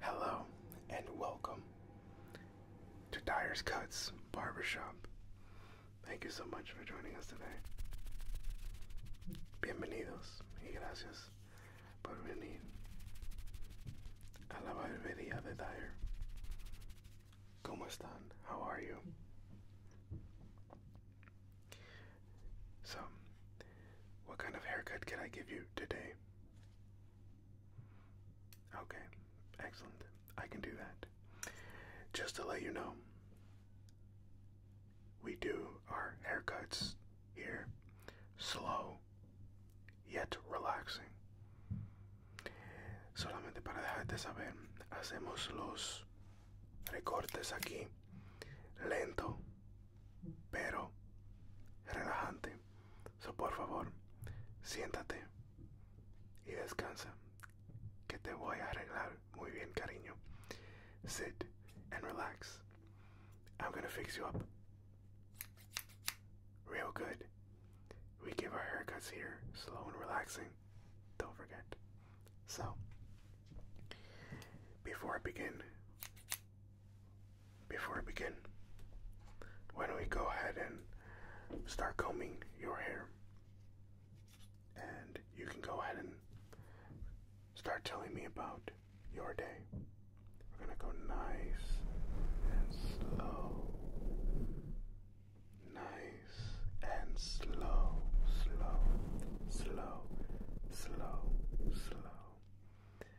Hello and welcome to Dyer's Cuts Barbershop. Thank you so much for joining us today. Bienvenidos y gracias por venir a la barbería de Dyer. ¿Cómo están? How are you? So, what kind of haircut can I give you today? Okay, excellent. I can do that. Just to let you know, we do our haircuts here slow yet relaxing. Solamente para dejarte saber, hacemos los recortes aquí lento pero relajante. So, por favor, siéntate y descansa, que te voy a arreglar muy bien, cariño. Sit and relax. I'm gonna fix you up real good. We give our haircuts here, slow and relaxing. Don't forget. So, before I begin, before we begin, why don't we go ahead and start combing your hair? And you can go ahead and start telling me about your day. We're going to go nice and slow. Nice and slow, slow, slow, slow, slow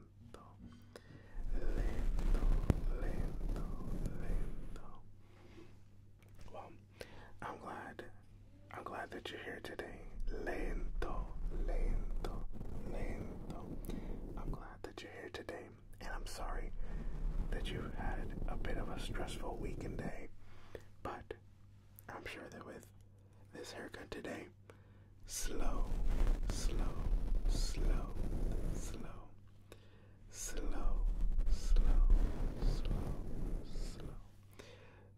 lento, lento, lento. Well, I'm glad. I'm glad that you're here today. Lento, lento, lento. I'm glad that you're here today, and I'm sorry that you had a bit of a stressful week day, but I'm sure that with this haircut today. Slow, slow, slow, slow, slow, slow, slow, slow,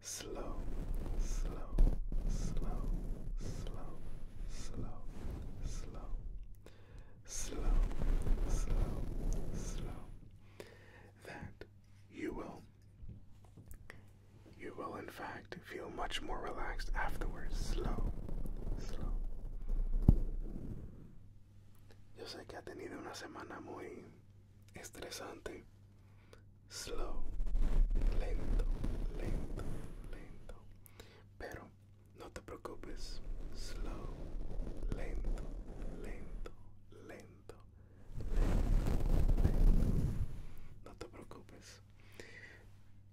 slow, slow, slow, slow, slow, slow, slow, slow, slow. That you will you will, in fact, feel much more relaxed afterwards. Slow, slow. Yo sé que ha tenido una semana muy estresante. Slow, lento, lento, lento. Pero no te preocupes. Slow, lento, lento, lento. No te preocupes,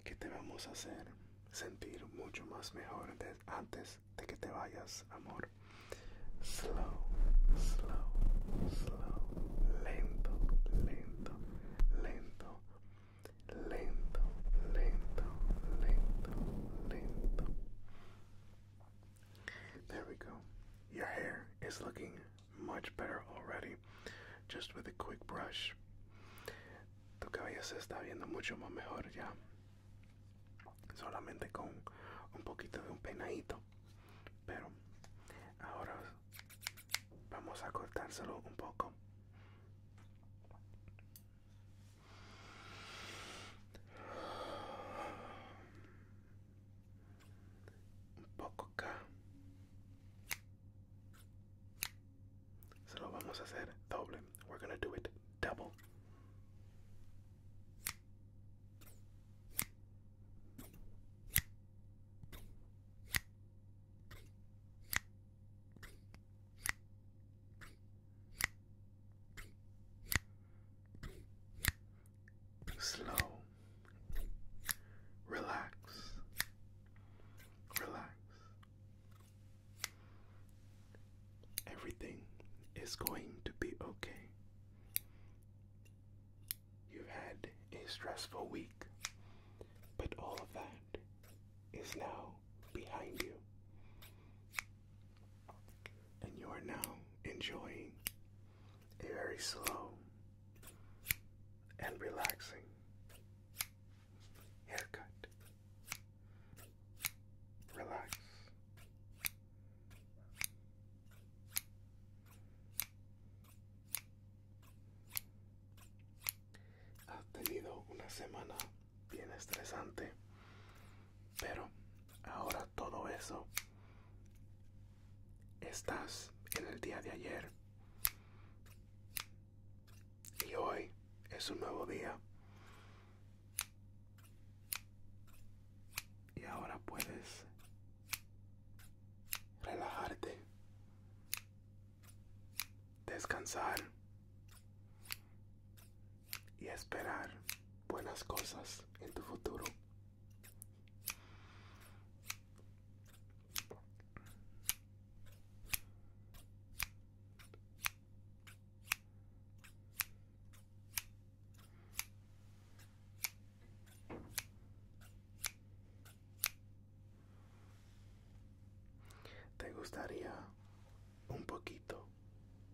que te vamos a hacer sentir mucho más mejor antes de que te vayas, amor. Slow, slow, slow, lento, lento, lento, lento, lento, lento, lento. There we go. Your hair is looking much better already just with a quick brush. Tu cabello se está viendo mucho mejor ya. Solamente con un poquito de un peinadito. Pero ahora vamos a cortárselo un poco un poco acá se lo vamos a hacer doble we're gonna do it double slow, relax, relax. Everything is going to be okay. You've had a stressful week, but all of that is now behind you. And you are now enjoying a very slow and relaxing haircut. Relax. Ha tenido una semana bien estresante, pero ahora todo eso estás en el día de ayer. Y hoy es un nuevo día. Y ahora puedes relajarte, descansar y esperar buenas cosas en tu futuro. ¿Te gustaría un poquito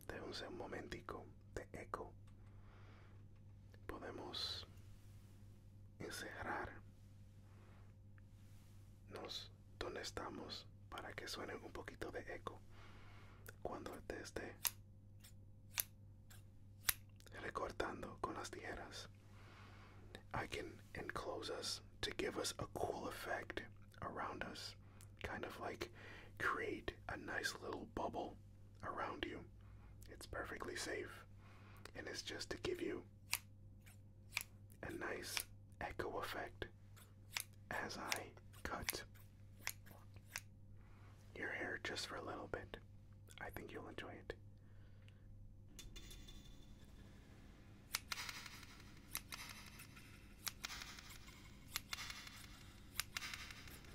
de un momentico de eco podemos encerrar nos donde estamos para que suene un poquito de eco cuando te esté recortando con las tijeras I can enclose us to give us a cool effect around us kind of like create a nice little bubble around you. It's perfectly safe, and it's just to give you a nice echo effect as I cut your hair just for a little bit. I think you'll enjoy it.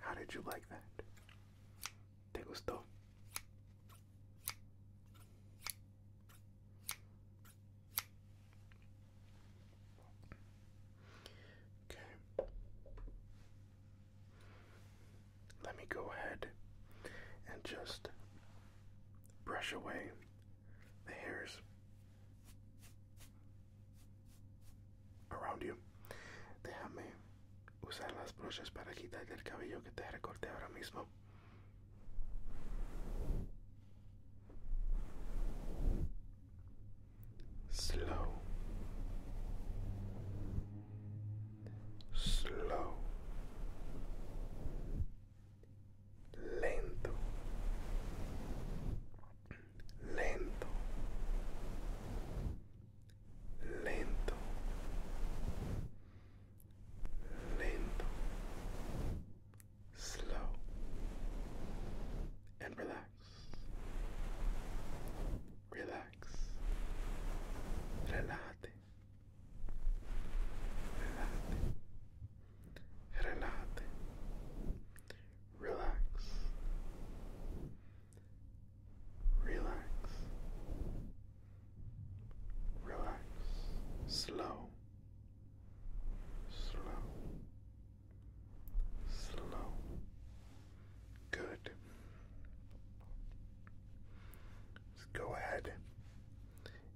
How did you like that? ¿Te gustó? Okay. Let me go ahead and just brush away the hairs around you. Déjame usar las brochas para quitar el cabello que te recorte ahora mismo. Slow. Slow. Lento. lento lento lento slow and relax relax relate relate relate relax Relax. Relax. Slow. Slow. Slow. Good. let go ahead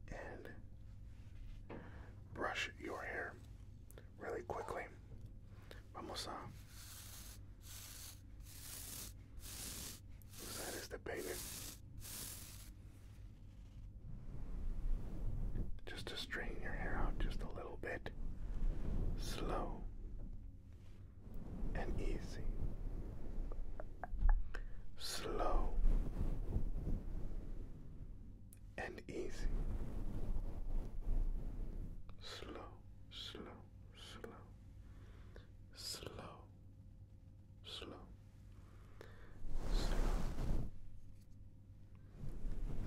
and brush your hair really quickly. Vamos a usar este peine just to straighten your hair out just a little bit. Slow and easy. Slow and easy. Slow, slow, slow, slow, slow,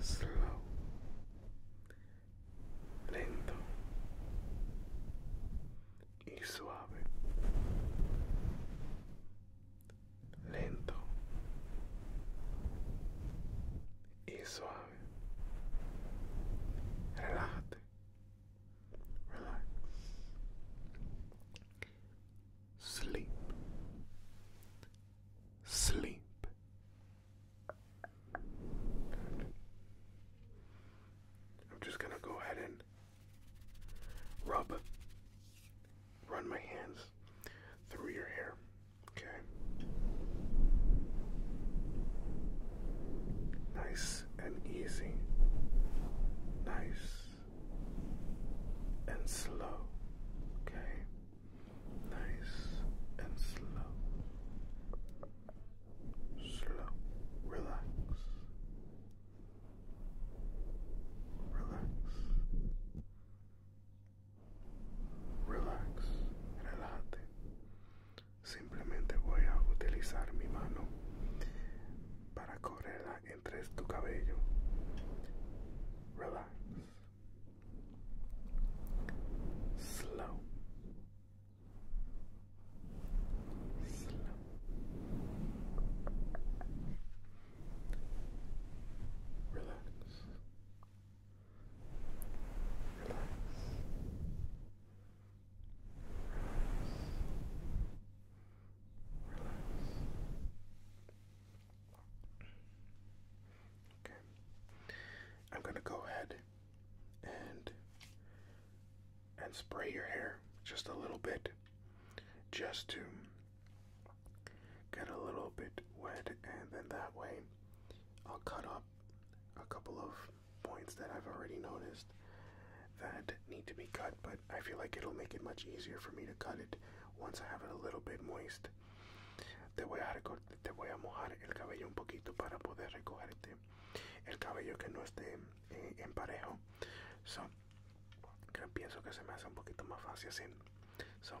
slow, slow, lento y suave, lento y suave. Relax. Sleep. Sleep. I'm just going to go ahead and rub, run my hands through your hair. Okay. Nice and easy. Nice and slow. Okay. Nice and slow. Slow. Relax. Relax. Relax, relájate. Simplemente voy a utilizar mi mano para correrla entre tu cabello. Relax. Slow. Slow. Relax. relax. Okay. I'm going to go ahead and and spray your hair just a little bit just to get a little bit wet and then that way I'll cut up a couple of points that I've already noticed that need to be cut, but I feel like it'll make it much easier for me to cut it once I have it a little bit moist. Te voy a, recortar, te voy a mojar el cabello un poquito para poder recogerte el cabello que no esté eh, en parejo. So, que pienso que se me hace un poquito más fácil así. So,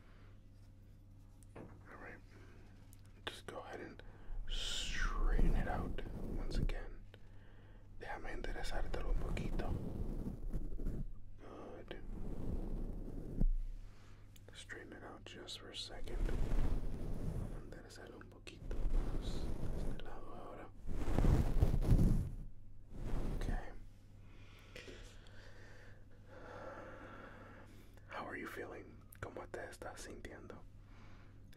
Alright, just go ahead and straighten it out once again. Déjame enderezártelo un poquito. Good. Straighten it out just for a second. Enderezarlo un poquito de lado ahora. Okay. How are you feeling? ¿Cómo te estás sintiendo?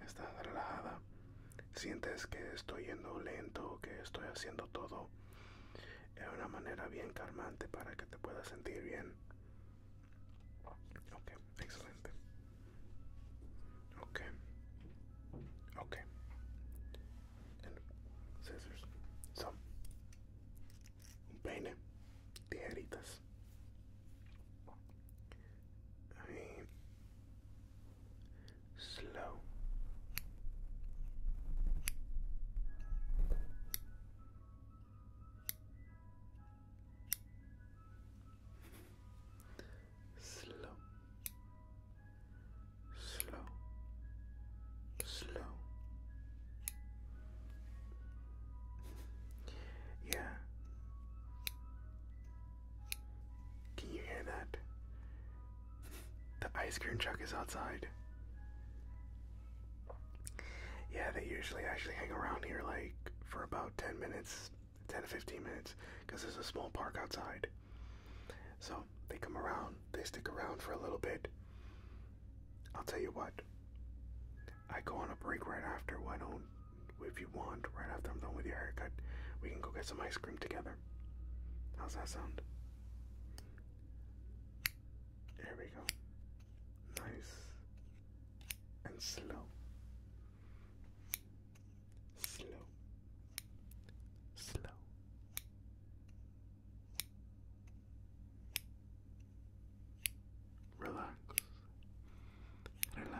¿Estás relajada? ¿Sientes que estoy yendo lento, que estoy haciendo todo? de una manera bien calmante para que te puedas sentir bien. Ok, excelente. Ok. Ok. and scissors. some, un peine, tijeritas. slow. Slow slow, slow. Yeah. Can you hear that? The ice cream truck is outside. Yeah, they usually actually hang around here like for about 10 minutes, 10 to 15 minutes, because there's a small park outside. So they come around, they stick around for a little bit. I'll tell you what. I go on a break right after. Why don't, if you want, right after I'm done with your haircut, we can go get some ice cream together. How's that sound? There we go. Nice and slow. Slow. Slow. Relax, relate.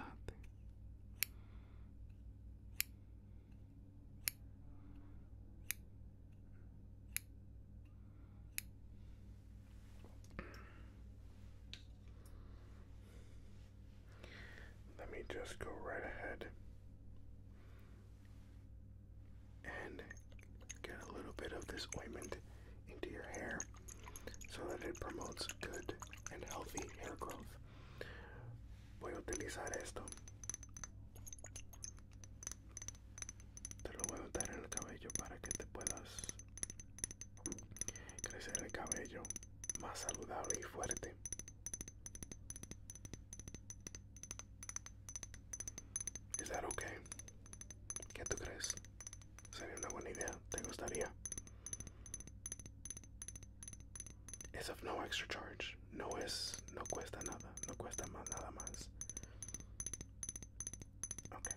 Let me just go right ahead and get a little bit of this ointment into your hair so that it promotes good and healthy hair growth. Voy a utilizar esto. Te lo voy a untar en el cabello para que te puedas crecer el cabello más saludable y fuerte. Is that okay? ¿Qué tú crees? ¿Sería una buena idea? ¿Te gustaría? It's of no extra charge. No es, no cuesta nada. No cuesta más, nada más. Okay.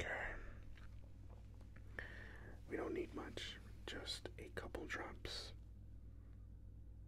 Okay. We don't need much, just a couple drops.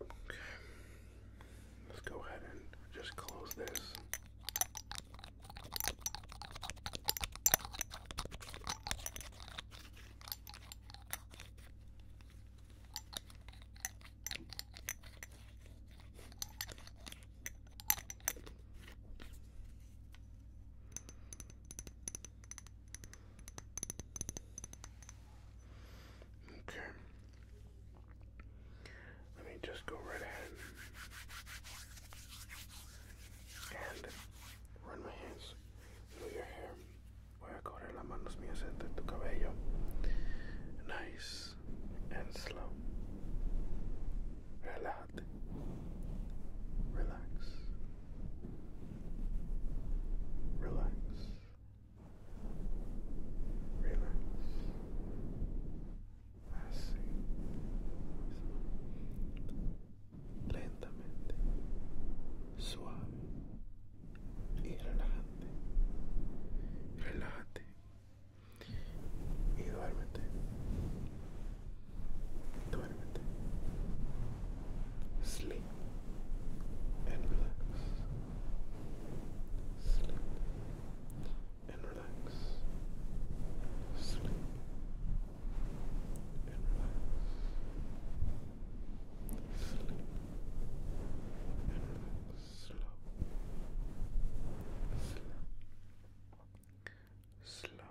Okay. Let's go ahead and just close this. Okay. Let me just go right ahead and run my hands through your hair. Voy a correr las manos mías entre cabello. Nice and slow. Relájate. Relax. Relax. Relax. Así. Lentamente. Suave. Y relajante. Relájate. Y Duérmete. Sleep and relax. Sleep and relax. Sleep and relax. Sleep and relax. Slow. Slow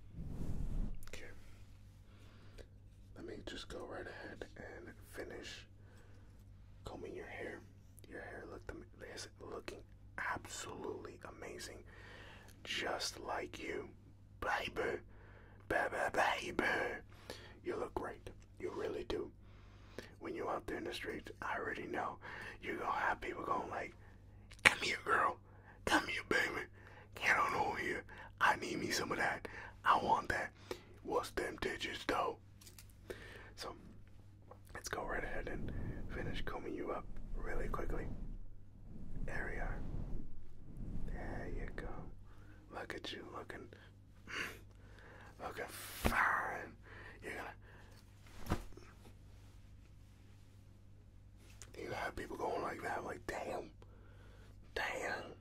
Okay. Let me just go right ahead and finish combing your hair. Your hair looked is looking absolutely amazing, just like you, baby, baby, baby. You look great. You really do. When you out there in the streets, I already know you're gonna have people going like, "Come here, girl girl. Come here, baby. Get on over here. I need me some of that. I want that. What's them digits, though? So, let's go right ahead and finish combing you up really quickly. There we are. There you go. Look at you looking, Lookin' fine. you you have people going like that, like, damn, damn.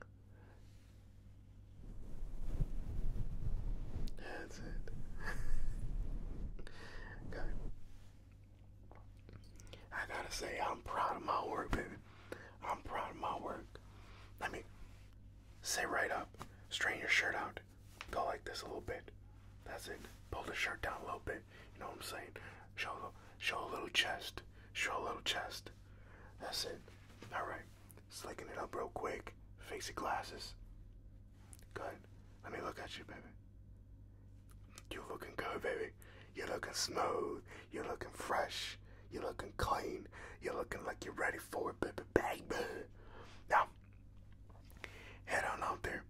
That's it. okay. I gotta say, I'm proud of my work, baby. I'm proud of my work. Let me say right up, straighten your shirt out, go like this a little bit. That's it. Pull the shirt down a little bit. You know what I'm saying? Show a, little chest. Show a little chest. That's it. Alright. Slicking it up real quick. Fix your glasses. Good. Let me look at you, baby. You are looking good, baby. You're looking smooth. You're looking fresh. You're looking clean. You're looking like you're ready for it, baby, baby. Now, head on out there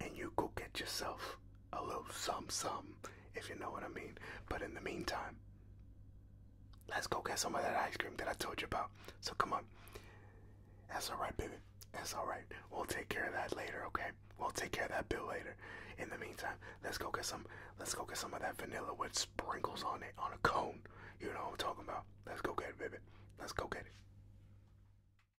and you go get yourself a little some some, if you know what I mean. But in the meantime, let's go get some of that ice cream that I told you about. So come on. That's all right, baby. That's all right. We'll take care of that later, okay? We'll take care of that bill later. In the meantime, let's go get some. Let's go get some of that vanilla with sprinkles on it on a cone. You know what I'm talking about. Let's go get it, baby. Let's go get it.